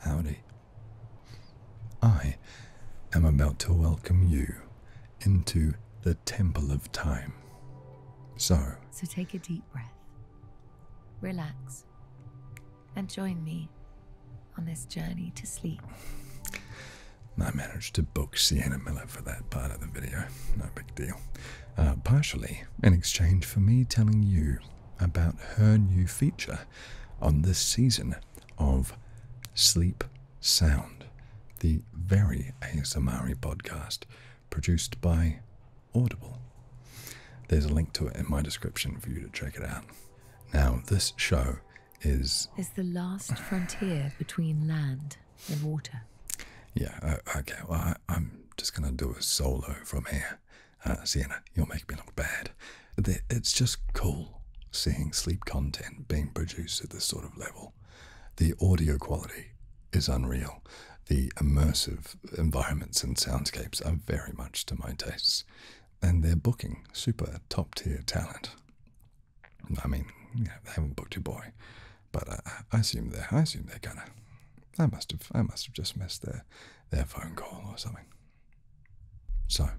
Howdy. I am about to welcome you into the Temple of Time. So. So take a deep breath, relax, and join me on this journey to sleep. I managed to book Sienna Miller for that part of the video. No big deal. Uh, partially in exchange for me telling you about her new feature on this season of Sleep Sound, the very Asamari podcast produced by Audible. There's a link to it in my description for you to check it out. Now, this show is. Is the last frontier between land the water. Yeah, uh, okay, well, I, am just gonna do a solo from here. Uh, Sienna, you'll make me look bad. it's just cool seeing sleep content being produced at this sort of level. The audio quality is unreal. The immersive environments and soundscapes are very much to my tastes, and they're booking super top tier talent. I mean, they haven't booked you, boy. But uh, I, assume they're I assume they're gonna. I must have I must have just missed their their phone call or something. So,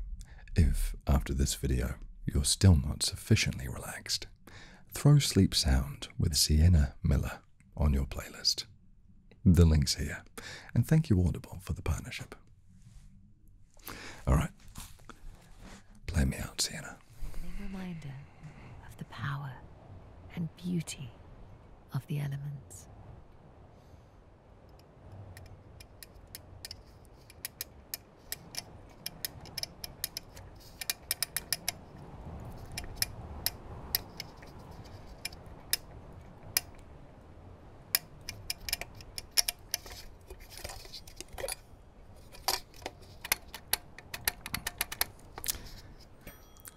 if after this video you're still not sufficiently relaxed, throw Sleep Sound with Sienna Miller on your playlist. The link's here, and thank you Audible for the partnership. Alright, play me out, Sienna awakening reminder of the power and beauty of the elements.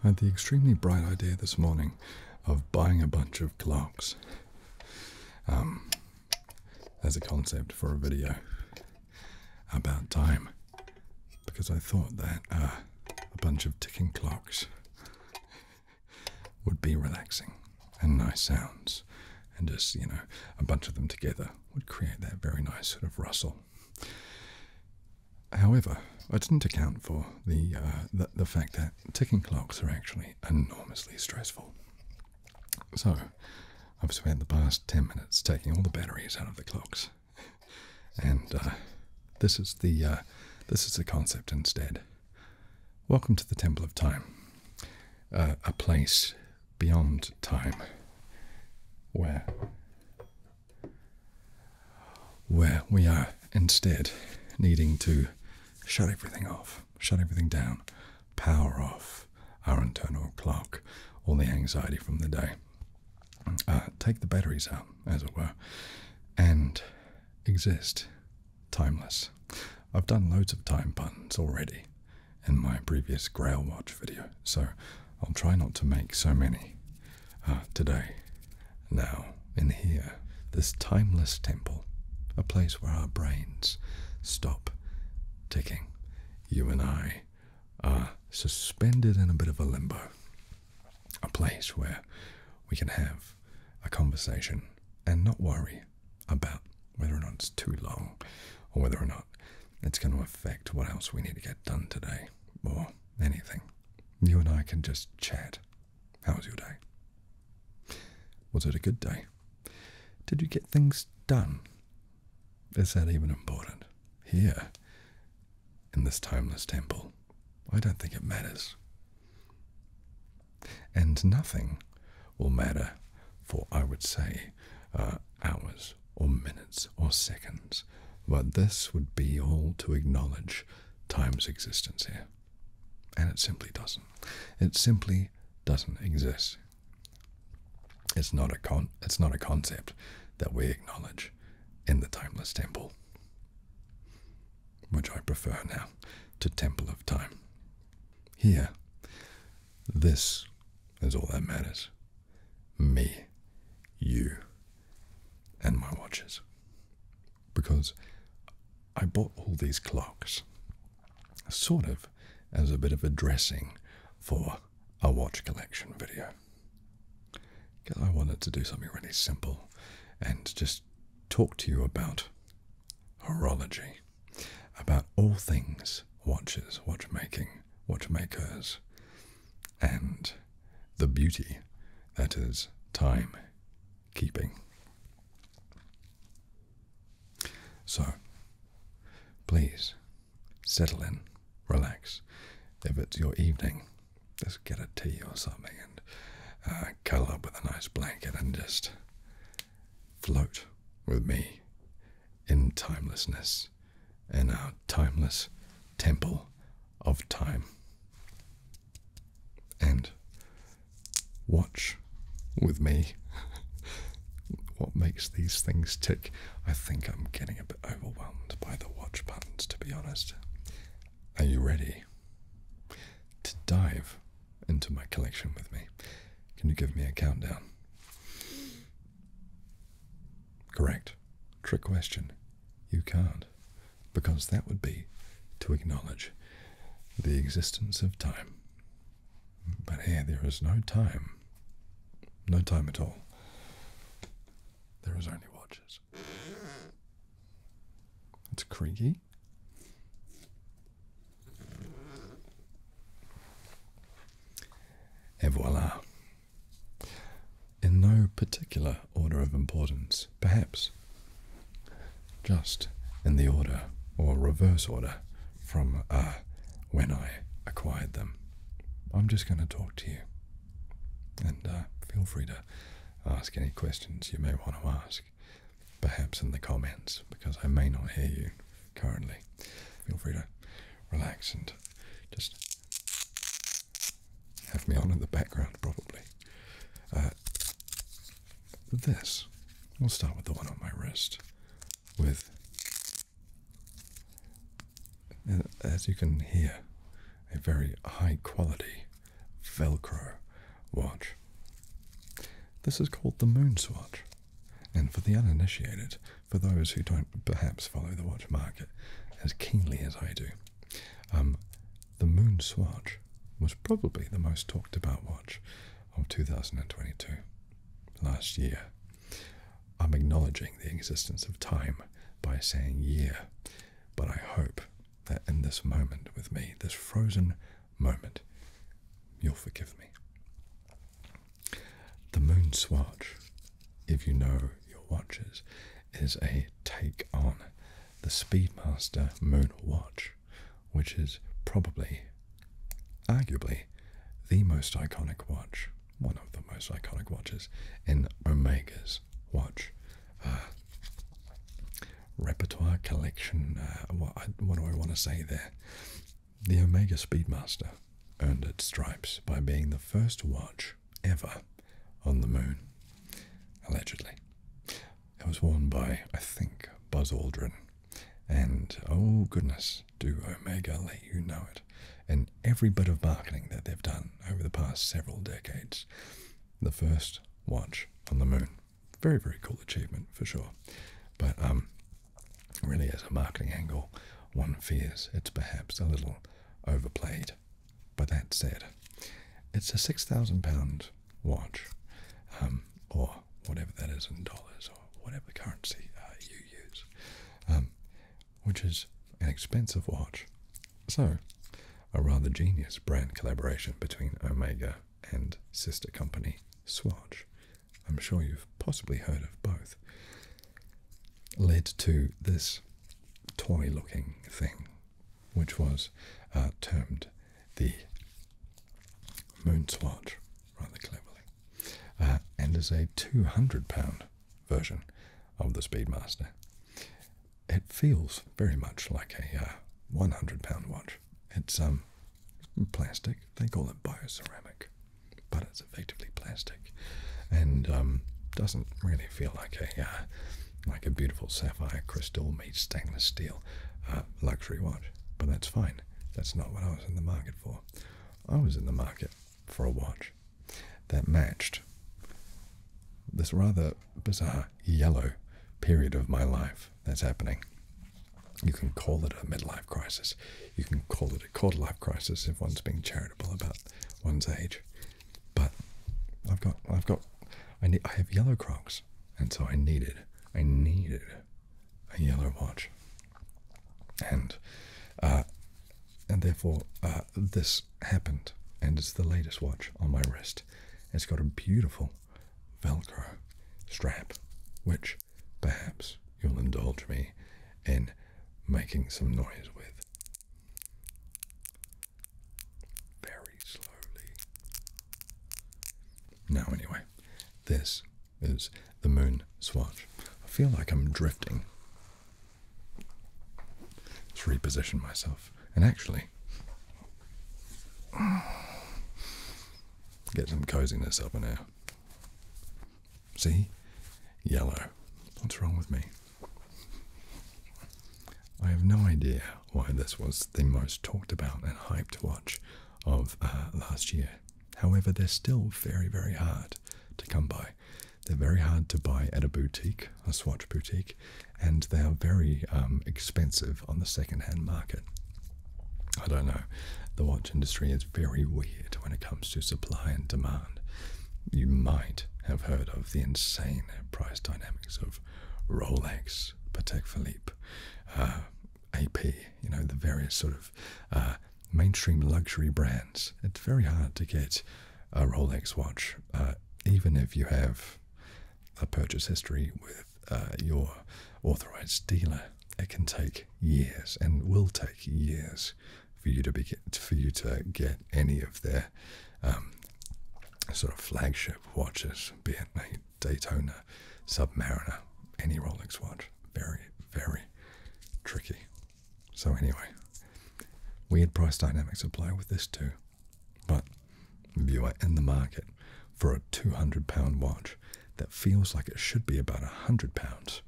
I had the extremely bright idea this morning of buying a bunch of clocks um, as a concept for a video about time because I thought that uh, a bunch of ticking clocks would be relaxing and nice sounds and just, you know, a bunch of them together would create that very nice sort of rustle However, I didn't account for uh, the, the fact that ticking clocks are actually enormously stressful. So, I've spent the past ten minutes taking all the batteries out of the clocks, and uh, this is the uh, this is the concept instead. Welcome to the Temple of Time, a place beyond time where where we are instead needing to shut everything off, shut everything down, power off our internal clock, all the anxiety from the day, uh, take the batteries out, as it were, and exist timeless. I've done loads of time puns already in my previous Grail Watch video, so I'll try not to make so many uh, today. Now, in here, this timeless temple, a place where our brains stop ticking, you and I are suspended in a bit of a limbo, a place where we can have a conversation and not worry about whether or not it's too long or whether or not it's going to affect what else we need to get done today, or anything. You and I can just chat. How was your day? Was it a good day? Did you get things done? Is that even important? Here, in this timeless temple, I don't think it matters. And nothing will matter for, I would say, uh, hours or minutes or seconds, but this would be all to acknowledge time's existence here. And it simply doesn't. It simply doesn't exist. It's not a con it's not a concept that we acknowledge in the timeless temple. Which I prefer now to Temple of Time. Here, this is all that matters. Me, you, and my watches. Because I bought all these clocks sort of as a bit of a dressing for a watch collection video. Because I wanted to do something really simple and just talk to you about horology about all things watches, watchmaking, watchmakers, and the beauty that is timekeeping. So, please settle in, relax. If it's your evening, just get a tea or something and uh, cuddle up with a nice blanket and just float with me in timelessness in our timeless temple of time. And watch with me what makes these things tick. I think I'm getting a bit overwhelmed by the watch patterns, to be honest. Are you ready to dive into my collection with me? Can you give me a countdown? Correct. Trick question. You can't, because that would be to acknowledge the existence of time. But here, there is no time. No time at all. There is only watches. It's creaky. Et voila. In no particular order of importance, perhaps just in the order or reverse order from uh, when I acquired them. I'm just going to talk to you and uh, feel free to ask any questions you may want to ask, perhaps in the comments, because I may not hear you currently. Feel free to relax and just have me on in the background, probably. Uh, this, we'll start with the one on my wrist. With, uh, as you can hear, a very high quality Velcro watch. This is called the Moon Swatch. And for the uninitiated, for those who don't perhaps follow the watch market as keenly as I do, um, the Moon Swatch was probably the most talked about watch of 2022, last year. I'm acknowledging the existence of time by saying year, but I hope that in this moment with me, this frozen moment. You'll forgive me. The moon swatch, if you know your watches, is a take on the Speedmaster Moon Watch, which is probably, arguably, the most iconic watch, one of the most iconic watches in Omega's watch uh, repertoire collection. Uh, what do I want to say there? The Omega Speedmaster earned its stripes by being the first watch ever on the moon, allegedly. It was worn by, I think, Buzz Aldrin. And oh goodness, do Omega let you know it. In every bit of marketing that they've done over the past several decades, the first watch on the moon very, very cool achievement for sure. But um, really, as a marketing angle, one fears it's perhaps a little overplayed. But that said, it's a six thousand pound watch, um, or whatever that is in dollars, or whatever currency uh, you use, um, which is an expensive watch. So, a rather genius brand collaboration between Omega and sister company Swatch I'm sure you've possibly heard of both, led to this toy looking thing, which was uh, termed the Moon Swatch, rather cleverly, uh, and is a 200 pound version of the Speedmaster. It feels very much like a uh, 100 pound watch, it's um, plastic. They call it bioceramic, but it's effectively plastic, and um, doesn't really feel like a uh, like a beautiful sapphire crystal made stainless steel uh, luxury watch. But that's fine. That's not what I was in the market for. I was in the market for a watch that matched this rather bizarre yellow period of my life that's happening. You can call it a midlife crisis. You can call it a quarter life crisis if one's being charitable about one's age. But I've got, I've got, I need, I have yellow Crocs, and so I needed, I needed a yellow watch, and, uh, and therefore uh, this happened, and it's the latest watch on my wrist. It's got a beautiful Velcro strap, which perhaps you'll indulge me in making some noise with. Very slowly. Now, anyway, this is the moon swatch. I feel like I'm drifting. Let's reposition myself. And actually, Get some coziness up in here. See? Yellow. What's wrong with me? I have no idea why this was the most talked about and hyped watch of uh, last year. However, they're still very, very hard to come by. They're very hard to buy at a boutique, a swatch boutique, and they are very um, expensive on the second-hand market. I don't know. The watch industry is very weird when it comes to supply and demand. You might have heard of the insane price dynamics of Rolex, Patek Philippe, uh, AP, you know, the various sort of uh, mainstream luxury brands. It's very hard to get a Rolex watch, uh, even if you have a purchase history with uh, your authorized dealer, it can take years and will take years for you to be for you to get any of their um, sort of flagship watches, be it a Daytona, Submariner, any Rolex watch. Very, very tricky. So anyway, weird price dynamics apply with this too. But if you are in the market for a two hundred pound watch that feels like it should be about a hundred pounds,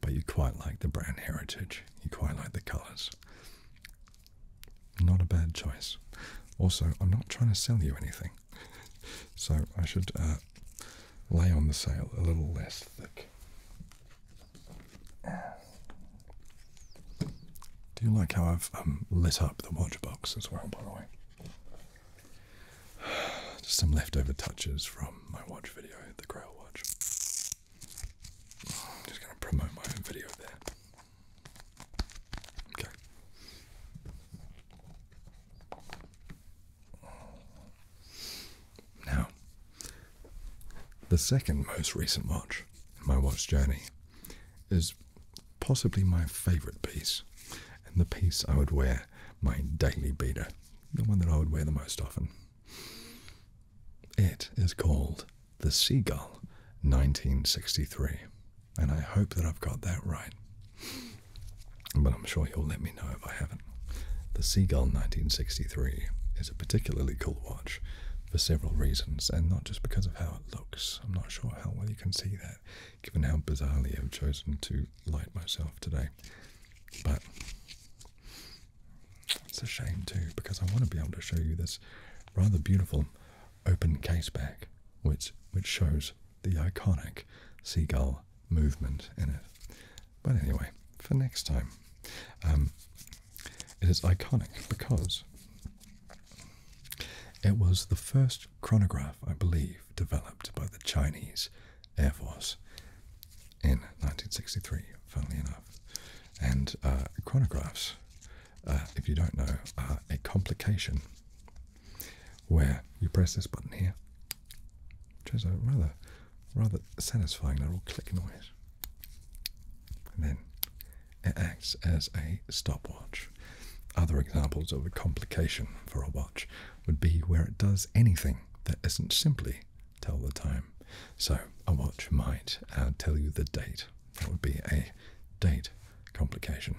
but you quite like the brand heritage, you quite like the colours. Not a bad choice. Also, I'm not trying to sell you anything, so I should uh, lay on the sale a little less thick. Do you like how I've um, lit up the watch box as well, by the way? Just some leftover touches from my watch video, the Grail watch. I'm just going to promote my video there. Okay. Now, the second most recent watch in my watch journey is possibly my favorite piece, and the piece I would wear my daily beater, the one that I would wear the most often. It is called The Seagull 1963, and I hope that I've got that right. But I'm sure you'll let me know if I haven't. The Seagull 1963 is a particularly cool watch for several reasons, and not just because of how it looks. I'm not sure how well you can see that given how bizarrely I've chosen to light myself today. But it's a shame too, because I want to be able to show you this rather beautiful open case back, which which shows the iconic seagull movement in it. But anyway, for next time, um, it is iconic because it was the first chronograph, I believe, developed by the Chinese Air Force in 1963, funnily enough. And uh, chronographs, uh, if you don't know, are a complication where you press this button here, which is a rather, rather satisfying little click noise. And then it acts as a stopwatch. Other examples of a complication for a watch would be where it does anything that isn't simply tell the time. So a watch might uh, tell you the date. That would be a date complication,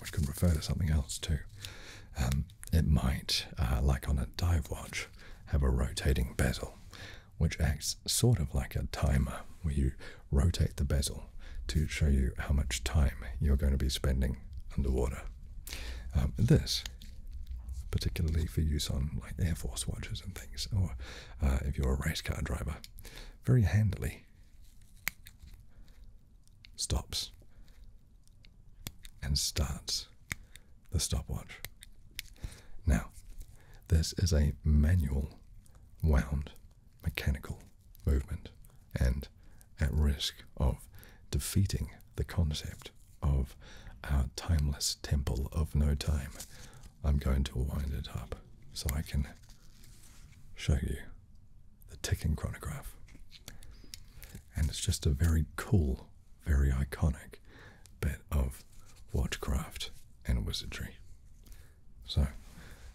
which could refer to something else too. Um, it might, uh, like on a dive watch, have a rotating bezel, which acts sort of like a timer, where you rotate the bezel to show you how much time you're going to be spending underwater. Um, this, particularly for use on like Air Force watches and things, or uh, if you're a race car driver, very handily stops and starts the stopwatch. Now, this is a manual wound mechanical movement and at risk of defeating the concept of our timeless temple of no time. I'm going to wind it up so I can show you the ticking chronograph. And it's just a very cool, very iconic bit of watchcraft and wizardry. So,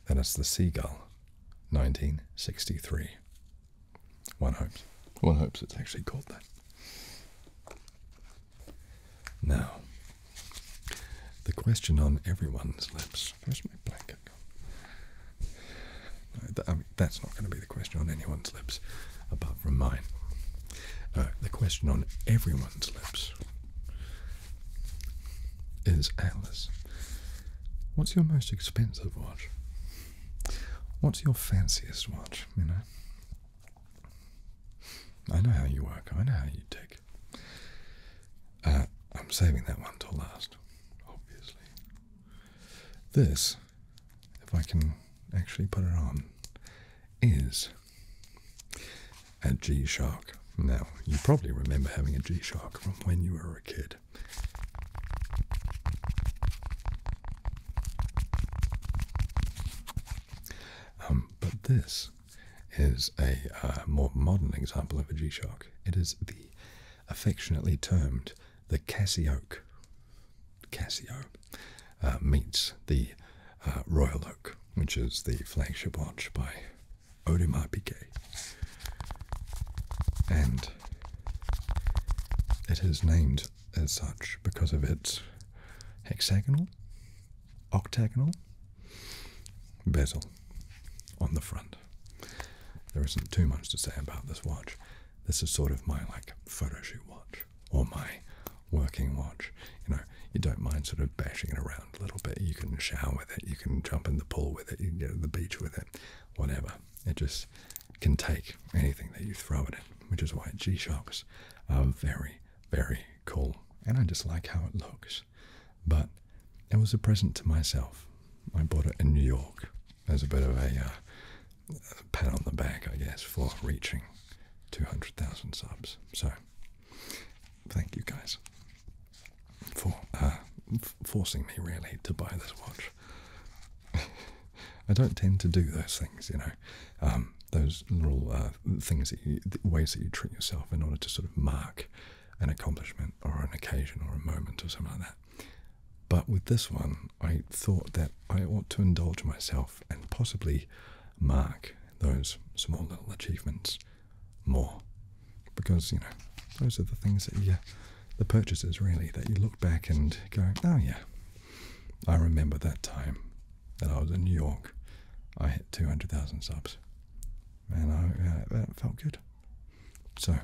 then it's The Seagull, 1963. One hopes. One hopes it's actually called that. Now, the question on everyone's lips. Where's my blanket I mean, um, that's not going to be the question on anyone's lips apart from mine. Uh, the question on everyone's lips is Atlas. What's your most expensive watch? What's your fanciest watch, you know? I know how you work, I know how you tick. Uh, I'm saving that one till last, obviously. This, if I can actually put it on, is a G Shock. Now, you probably remember having a G Shock from when you were a kid. Um, but this is a uh, more modern example of a G Shock. It is the affectionately termed the Casio oak. Casio uh, meets the uh, Royal Oak, which is the flagship watch by Odin might And it is named as such because of its hexagonal, octagonal bezel on the front. There isn't too much to say about this watch. This is sort of my like photo shoot watch or my working watch. You know, you don't mind sort of bashing it around a little bit. You can shower with it. You can jump in the pool with it. You can go to the beach with it. Whatever. It just can take anything that you throw at it, which is why G Shocks are very, very cool. And I just like how it looks. But it was a present to myself. I bought it in New York as a bit of a uh, pat on the back, I guess, for reaching 200,000 subs. So thank you guys for uh, forcing me really to buy this watch. I don't tend to do those things, you know, um, those little uh, things ways that you treat yourself in order to sort of mark an accomplishment or an occasion or a moment or something like that. But with this one, I thought that I ought to indulge myself and possibly mark those small little achievements more because you know those are the things that you the purchases really that you look back and go oh yeah i remember that time that i was in new york i hit 200000 subs and I, felt good so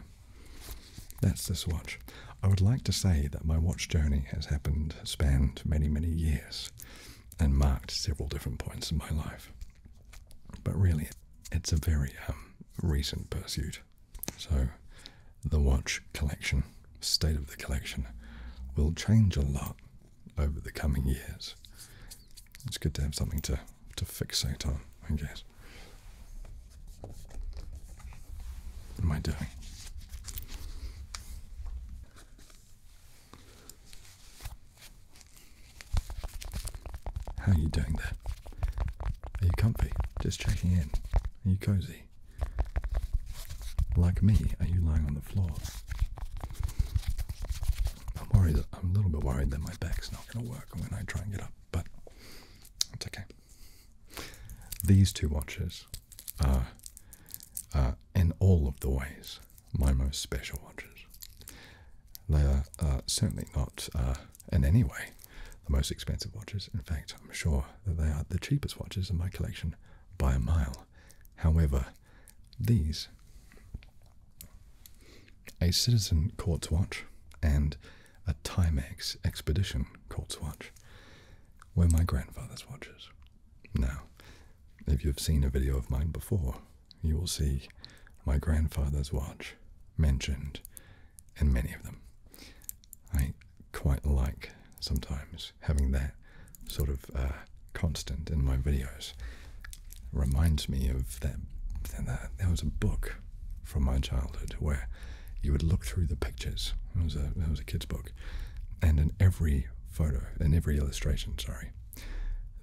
that's the watch i would like to say that my watch journey has happened spanned many many years and marked several different points in my life but really, it's a very um, recent pursuit. So, the watch collection, state of the collection, will change a lot over the coming years. It's good to have something to, to fixate on, I guess. What am I doing? How are you doing there? Are you comfy? Just checking in. Are you cozy? Like me, are you lying on the floor? I'm worried. That, I'm a little bit worried that my back's not going to work when I try and get up, but it's okay. These two watches are, are in all of the ways my most special watches. They are uh, certainly not uh, in any way the most expensive watches. In fact, I'm sure that they are the cheapest watches in my collection by a mile. However, these a Citizen Quartz watch and a Timex Expedition Quartz watch were my grandfather's watches. Now, if you've seen a video of mine before, you will see my grandfather's watch mentioned in many of them. I quite like sometimes having that sort of uh, constant in my videos. It reminds me of that. There was a book from my childhood where you would look through the pictures. It was a it was a kid's book, and in every photo, in every illustration, sorry,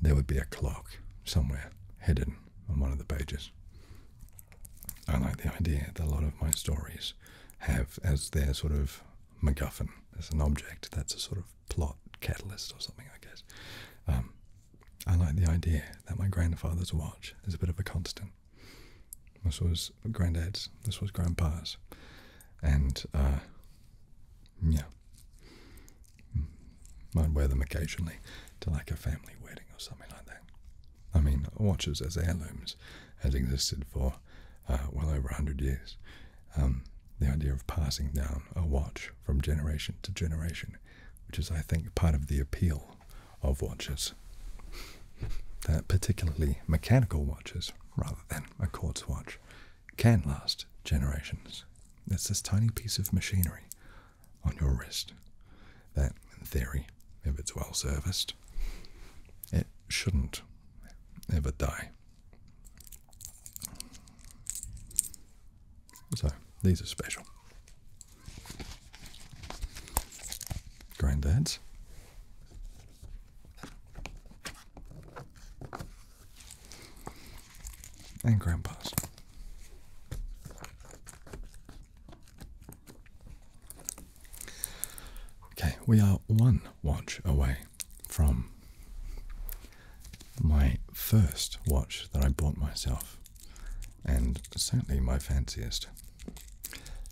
there would be a clock somewhere hidden on one of the pages. I like the idea that a lot of my stories have as their sort of MacGuffin, as an object that's a sort of plot catalyst or something, I guess. Um, I like the idea that my grandfather's watch is a bit of a constant. This was granddad's, this was grandpa's, and uh, yeah. Mm. Might wear them occasionally to like a family wedding or something like that. I mean, watches as heirlooms has existed for uh, well over 100 years. Um, the idea of passing down a watch from generation to generation, which is, I think, part of the appeal of watches. particularly mechanical watches rather than a quartz watch can last generations. It's this tiny piece of machinery on your wrist that, in theory, if it's well serviced, it shouldn't ever die. So, these are special. Granddads. And grandpa's. Okay, we are one watch away from my first watch that I bought myself, and certainly my fanciest.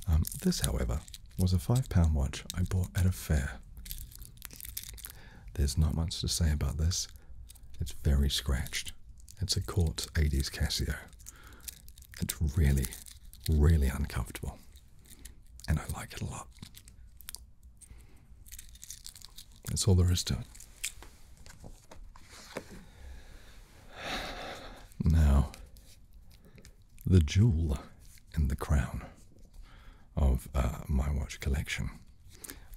Um, this, however, was a £5 watch I bought at a fair there's not much to say about this. It's very scratched. It's a Quartz 80s Casio. It's really, really uncomfortable. And I like it a lot. That's all there is to it. Now, the jewel in the crown of uh, my watch collection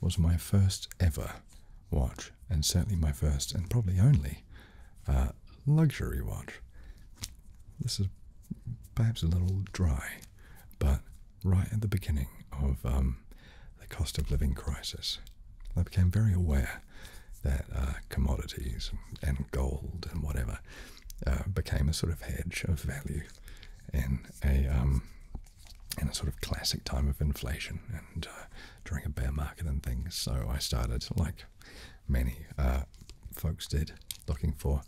was my first ever watch, and certainly my first and probably only uh, luxury watch. This is perhaps a little dry, but right at the beginning of um, the cost of living crisis, I became very aware that uh, commodities and gold and whatever uh, became a sort of hedge of value in a um, in a sort of classic time of inflation and uh, during a bear market and things. So I started, like many uh, folks did, looking for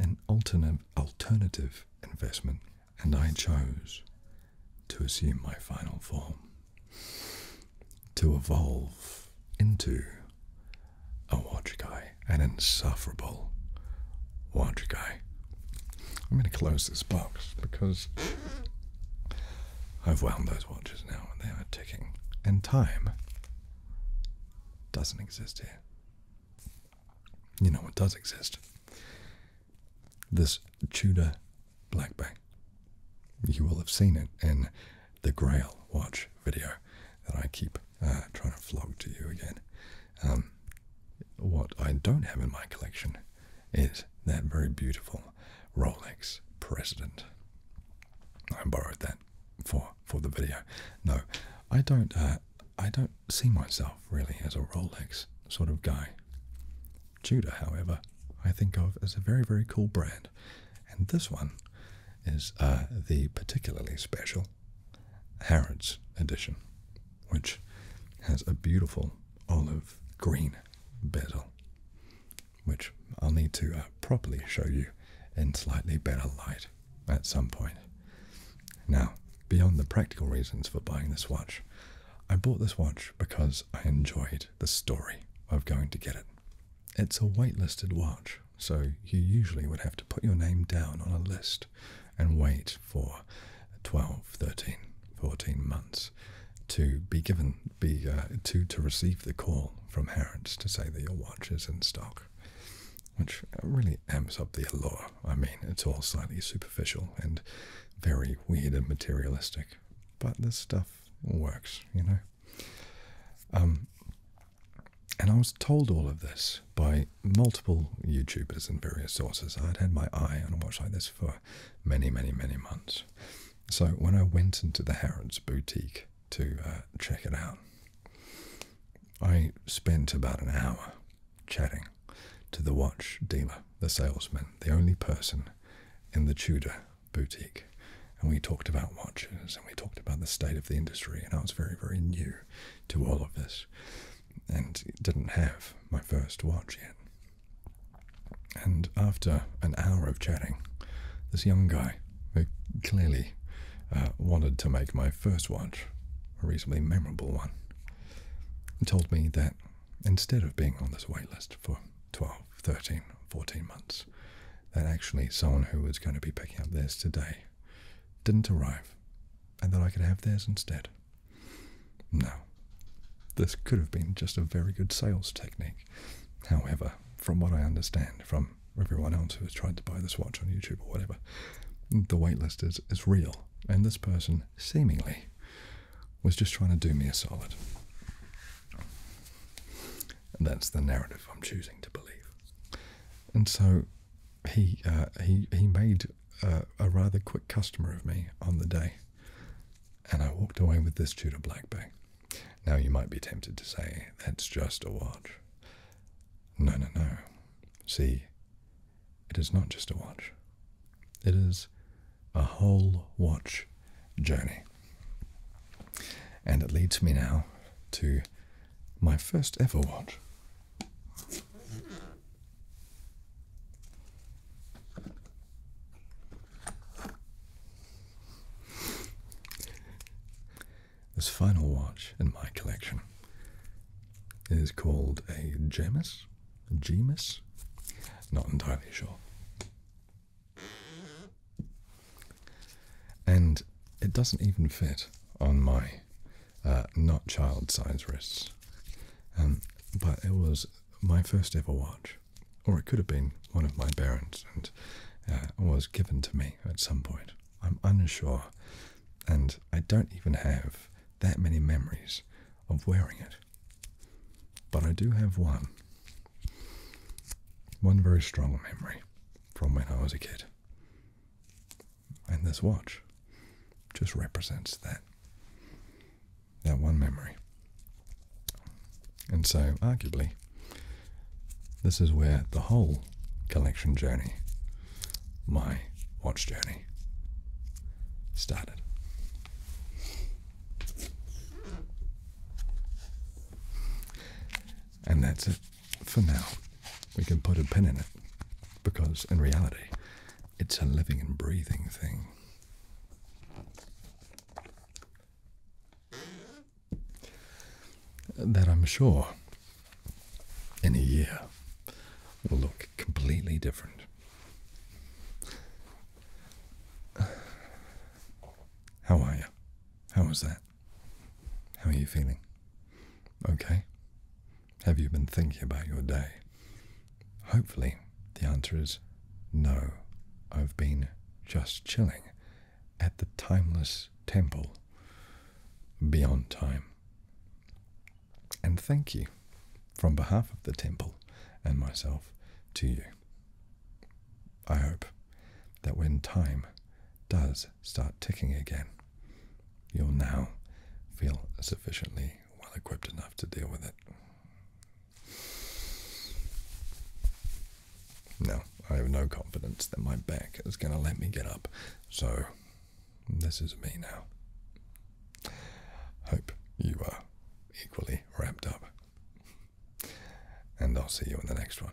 an alternative alternative investment, and I chose to assume my final form, to evolve into a watch guy, an insufferable watch guy. I'm going to close this box because I've wound those watches now and they are ticking. And time doesn't exist here. You know it does exist? This Tudor Blackback. You will have seen it in the Grail watch video that I keep uh, trying to flog to you again. Um, what I don't have in my collection is that very beautiful Rolex President. I borrowed that for for the video. No, I don't. Uh, I don't see myself really as a Rolex sort of guy. Tudor, however, I think of as a very very cool brand, and this one is uh, the particularly special Harrods edition, which has a beautiful olive green bezel, which I'll need to uh, properly show you in slightly better light at some point. Now, beyond the practical reasons for buying this watch, I bought this watch because I enjoyed the story of going to get it. It's a waitlisted watch so you usually would have to put your name down on a list and wait for 12, 13, 14 months to be given, be uh, to to receive the call from Harrods to say that your watch is in stock, which really amps up the allure. I mean, it's all slightly superficial and very weird and materialistic, but this stuff works, you know. Um, and I was told all of this by multiple YouTubers and various sources. I'd had my eye on a watch like this for many, many, many months. So when I went into the Harrods boutique to uh, check it out, I spent about an hour chatting to the watch dealer, the salesman, the only person in the Tudor boutique. And we talked about watches and we talked about the state of the industry. And I was very, very new to all of this, and didn't have my first watch yet. And after an hour of chatting, this young guy, who clearly uh, wanted to make my first watch a reasonably memorable one, told me that instead of being on this wait list for 12, 13, 14 months, that actually someone who was going to be picking up theirs today didn't arrive and that I could have theirs instead. No, this could have been just a very good sales technique. However, from what I understand from everyone else who has tried to buy this watch on YouTube or whatever, the waitlist is, is real, and this person seemingly was just trying to do me a solid. And that's the narrative I'm choosing to believe. And so he uh, he he made a rather quick customer of me on the day, and I walked away with this Tudor Black Bay. Now you might be tempted to say that's just a watch. No, no, no. See, it is not just a watch. It is a whole watch journey. And it leads me now to my first ever watch. This final watch in my collection is called a Gemis. Gemis? Not entirely sure. And it doesn't even fit on my uh, not child sized wrists. Um, but it was my first ever watch, or it could have been one of my parents, and uh, was given to me at some point. I'm unsure, and I don't even have that many memories of wearing it. But I do have one. One very strong memory from when I was a kid. And this watch just represents that. That one memory. And so, arguably, this is where the whole collection journey, my watch journey, started. And that's it for now, we can put a pin in it because in reality, it's a living and breathing thing. That I'm sure in a year will look completely different. How are you? How was that? How are you feeling? Okay. Have you been thinking about your day? Hopefully, the answer is no. I've been just chilling at the timeless temple beyond time. And thank you from behalf of the temple and myself to you. I hope that when time does start ticking again, you'll now feel sufficiently well equipped enough to deal with it. No, I have no confidence that my back is going to let me get up, so this is me now. Hope you are equally wrapped up and I'll see you in the next one.